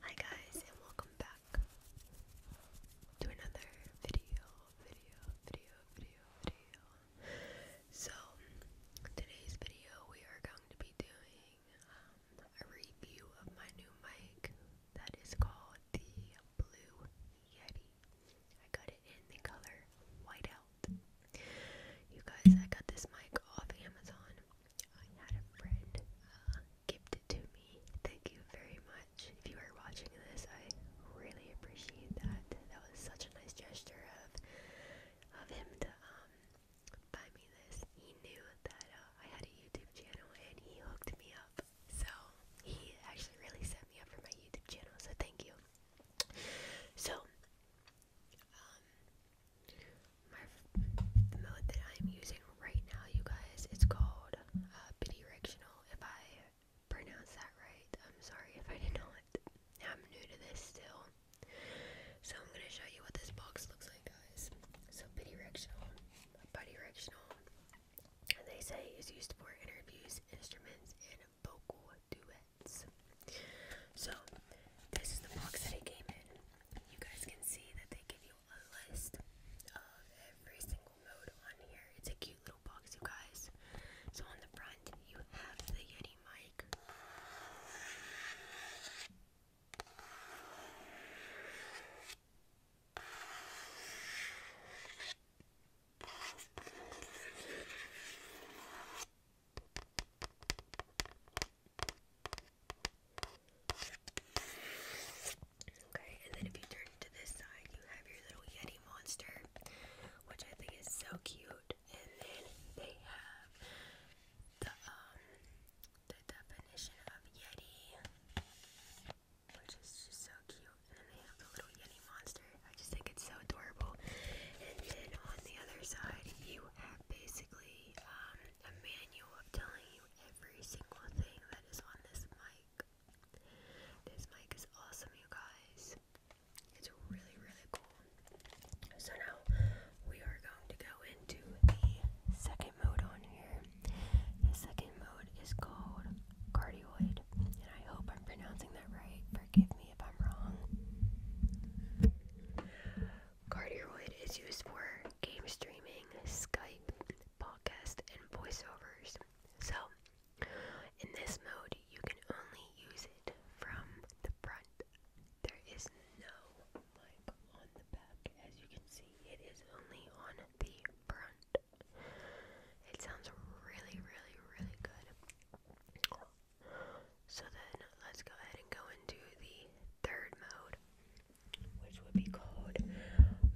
Hi guys and welcome back to another video, So today's video we are going to be doing um, a review of my new mic that is called the Blue Yeti. I got it in the color whiteout. You guys, I got this mic off Amazon. I had a friend uh, it to me. Thank you very much. If you are watching this, I really appreciate that. That was such a nice gesture of of him to um buy me this. He knew that uh, I had a YouTube channel and he hooked me up. So he actually really set me up for my YouTube channel. So thank you. So um, my mode that I'm using right now, you guys, it's called uh, bidirectional. If I pronounce that right, I'm sorry if I did not. I'm new to this still, so I'm gonna show you what this box looks like, guys. So bidirectional, bidirectional. They say is used for interviews, instruments, and vocal duets. So, this is the box that it came in. You guys can see that they give you a list of every single mode on here. It's a cute little box, you guys. So, on the front, you have the Yeti mic. Okay, and then if you turn to this side, you have your little Yeti monster, which I think is so cute. And then they have the um the definition of Yeti, which is just so cute. And then they have the little Yeti monster. I just think it's so adorable. And then on the other side, you have basically um, a manual of telling you every single thing that is on this mic. This mic is awesome, you guys. It's really, really cool. So now we are going to go into the second mode on here. The second mode is called cardioid. And I hope I'm pronouncing that right. Forgive me Cardioid is used for game streaming, Skype, podcast, and voiceovers. So, in this mode, you can only use it from the front. There is no mic on the back. As you can see, it is only on the front. It sounds really, really, really good. So then let's go ahead and go into the third mode, which would be called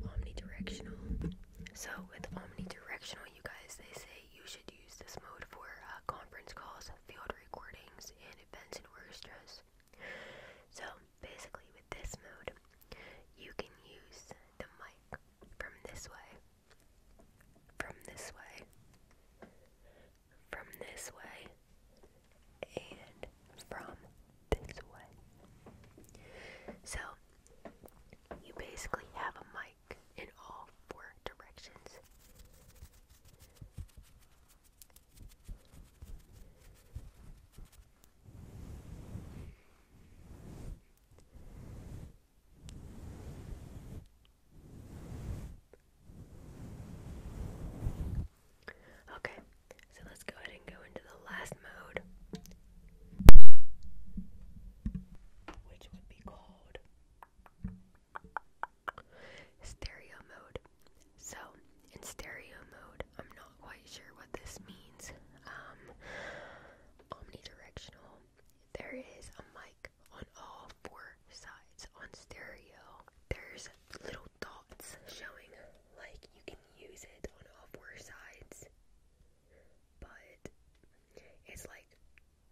omnidirectional. So with omnidirectional, you guys, they say you should use this mode for uh, conference calls, field recordings, and events in orchestras. So basically, with this mode, you can use the mic from this way, from this way, from this way, and from this way. So, you basically have a mic in all four directions. Okay, so let's go ahead and go into the last mode, which would be called stereo mode. So, in stereo mode, I'm not quite sure what this means. Um, omnidirectional there is a mic on all four sides on stereo. There's little dots showing like you can use it on all four sides, but it's like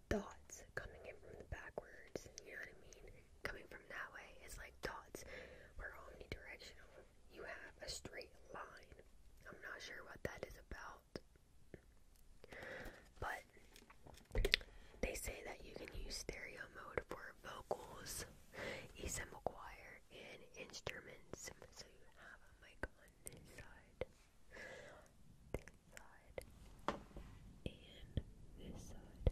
dots coming in from the backwards. You know what I mean? Coming from that way it's like dots. We're omnidirectional. You have a straight line. I'm not sure what that is about. But they say that you can use stereo mode for vocals, ESM choir, and instruments. So you have a mic on this side, this side, and this side.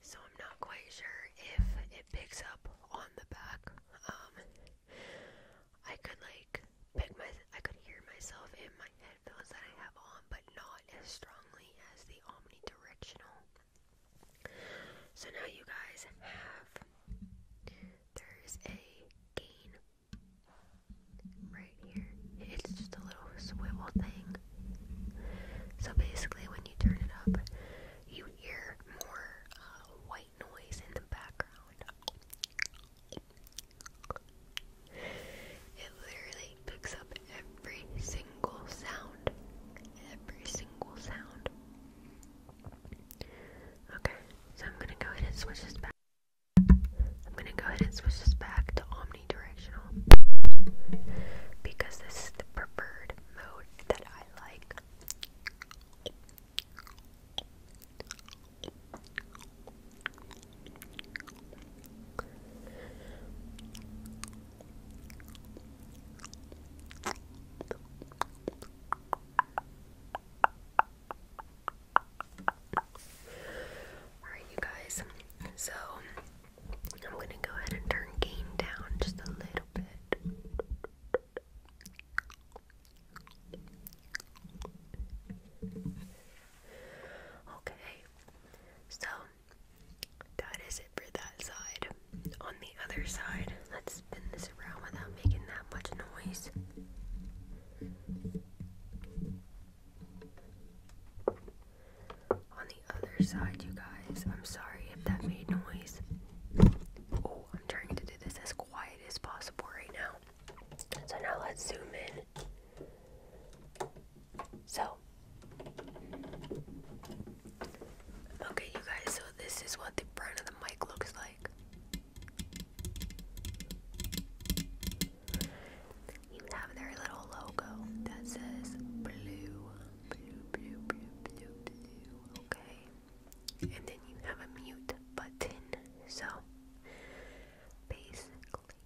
So I'm not quite sure if it picks up on the back. Um, I could like pick my I could hear myself in my headphones that I have on, but not as strongly as the omnidirectional. So now you guys have there's a gain right here. It's just a little swivel thing. So basically, when you turn it up, you hear more white uh, noise in the background. It literally picks up every single sound. Every single sound. Okay, so I'm gonna go ahead and switch this back. I'm gonna go ahead and switch this back to omnidirectional because this is the preferred mode that I like Alright, you guys, so I'm gonna go ahead and turn gain down just a little bit. Okay, so that is it for that side. On the other side, let's spin this around without making that much noise the other side, you guys. I'm sorry if that made noise. Oh, I'm trying to do this as quiet as possible right now. So now let's zoom in. So, okay, you guys, so this is what the front of the mic looks like. You have their little logo that says blue Okay, and then you have a mute button. So basically,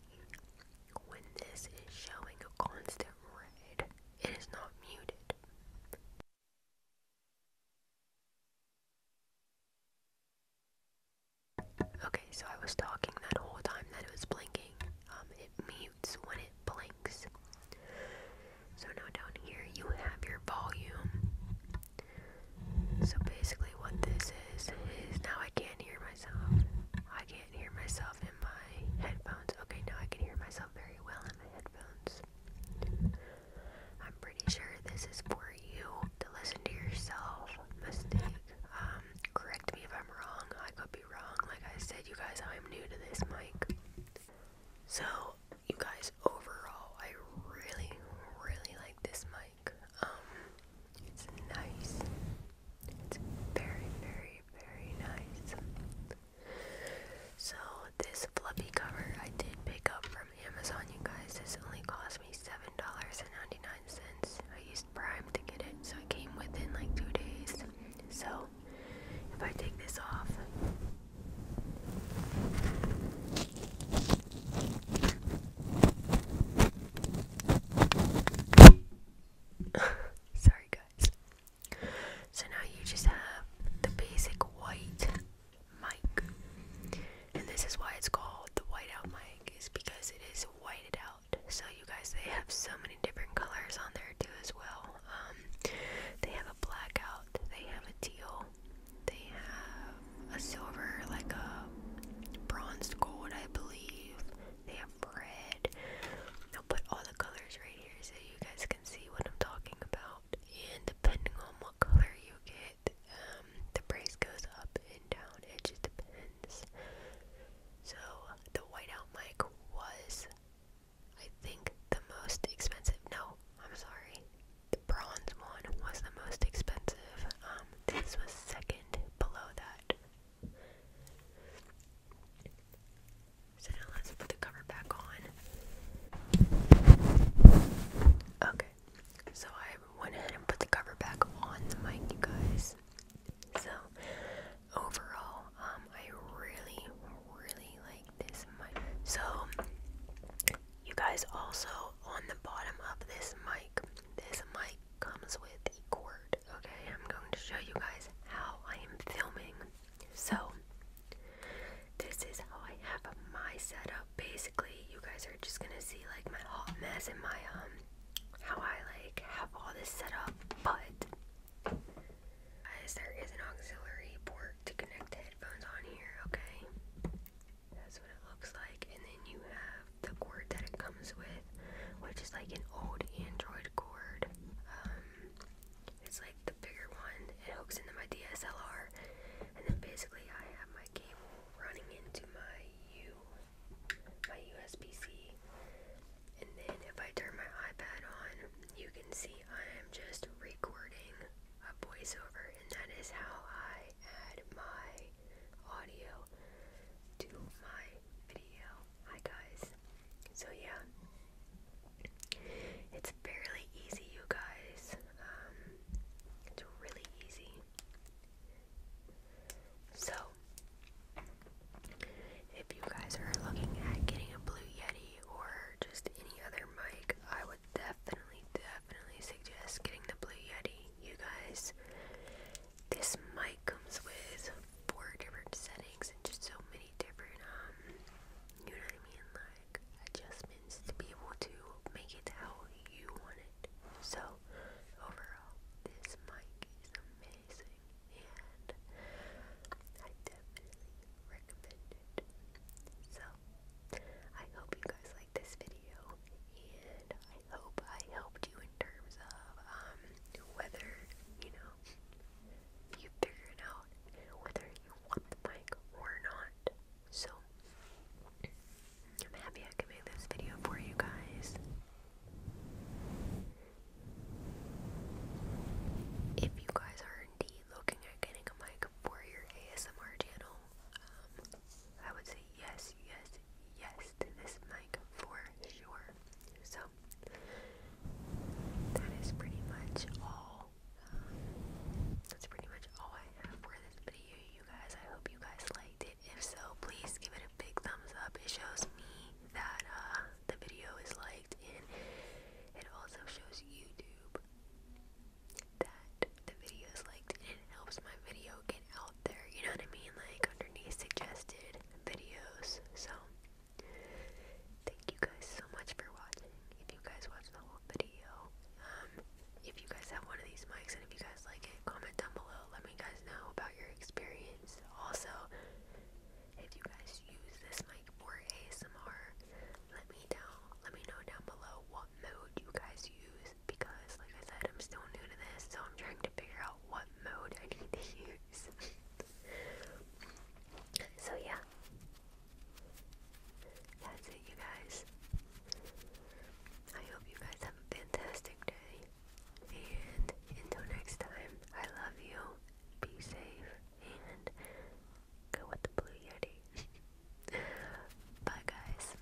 when this is showing a constant red, it is not muted. Okay, so I was talking that whole time that it was blinking. Um, it means when it blinks. So now down here you have your volume. So basically what this is is now I can't hear myself. I can't hear myself in my headphones. Okay, now I can hear myself very well in my headphones. I'm pretty sure this is for you to listen to yourself. Mistake. Um, correct me if I'm wrong wrong. Like I said, you guys, I'm new to this mic. So, you guys, overall, I really, really like this mic. Um, it's nice. It's very, very, very nice. So, this fluffy cover I did pick up from Amazon, you guys. This only cost me $7.99. I used to get it, so it came within like two days. So if I take this off, sorry guys. So now you just have the basic white mic, and this is why it's called the whiteout mic, is because it is whited out. So you guys, they have so many different colors on there too as well. Um, they have a blackout, they have a teal, they have a silver, like a bronze gold, I believe. They have red. I'll put all the colors right here so you guys can see what I'm talking about. And depending on what color you get, um, the price goes up and down. It just depends. So the whiteout mic was, I think, the most expensive. No, I'm sorry. The bronze one was the most expensive. Um, this was second below that. So let's put the cover back on. Okay, so I went ahead and put the cover back on the mic, you guys. So overall, um, I really, really like this mic. So you guys also on the bottom of this mic, this mic comes with a cord. Okay, I'm going to show you guys how I am filming. So this is how I have my setup. Basically, you guys are just gonna see like my hot mess and my um how I like have all this set up, but there is an auxiliary port to connect the headphones on here, okay? That's what it looks like, and then you have the cord that it comes with, which is like an old Android cord. Um, it's like the bigger one. It hooks into my DSLR, and then basically I have my cable running into my U my USB-C. And then if I turn my iPad on, you can see I am just recording a voiceover, and that is how I add my audio to my video. Hi guys. So yeah, it's fairly easy, you guys. Um, it's really easy. So, if you guys are looking at getting a Blue Yeti or just any other mic, I would definitely, definitely suggest getting the Blue Yeti. You guys, this mic comes with four different settings and just so many different, um, you know what I mean, like adjustments to be able to make it how you want it. So, overall, this mic is amazing and I definitely recommend it. So, I hope you guys like this video and I hope I helped you in terms of um, whether, you know, you figuring out whether you want the mic or not. So, I'm happy I can make this video for you guys. If you guys are indeed looking at getting a mic for your ASMR channel, um, I would say yes, yes, yes to this mic for sure. So, that is pretty much all. Um, that's pretty much all I have for this video, you guys. I hope you guys liked it. If so, please give it a big thumbs up. It shows me that uh, the video is liked, and it also shows YouTube that the video is liked, and it helps my video get out there. You know what I mean? Like underneath suggested videos. So, thank you guys so much for watching. If you guys watched the whole video, um, if you guys have one of these mics and if you guys like it, comment down below. Let me guys know about your experience. Also, if you guys use this mic for ASMR, let me know. let me know down below what mode you guys use because like I said, I'm still new to this, so I'm trying to figure out what mode I need to use. so yeah that's it you guys. I hope you guys have a fantastic day. And until next time, I love you. Be safe and go with the blue yeti. Bye guys.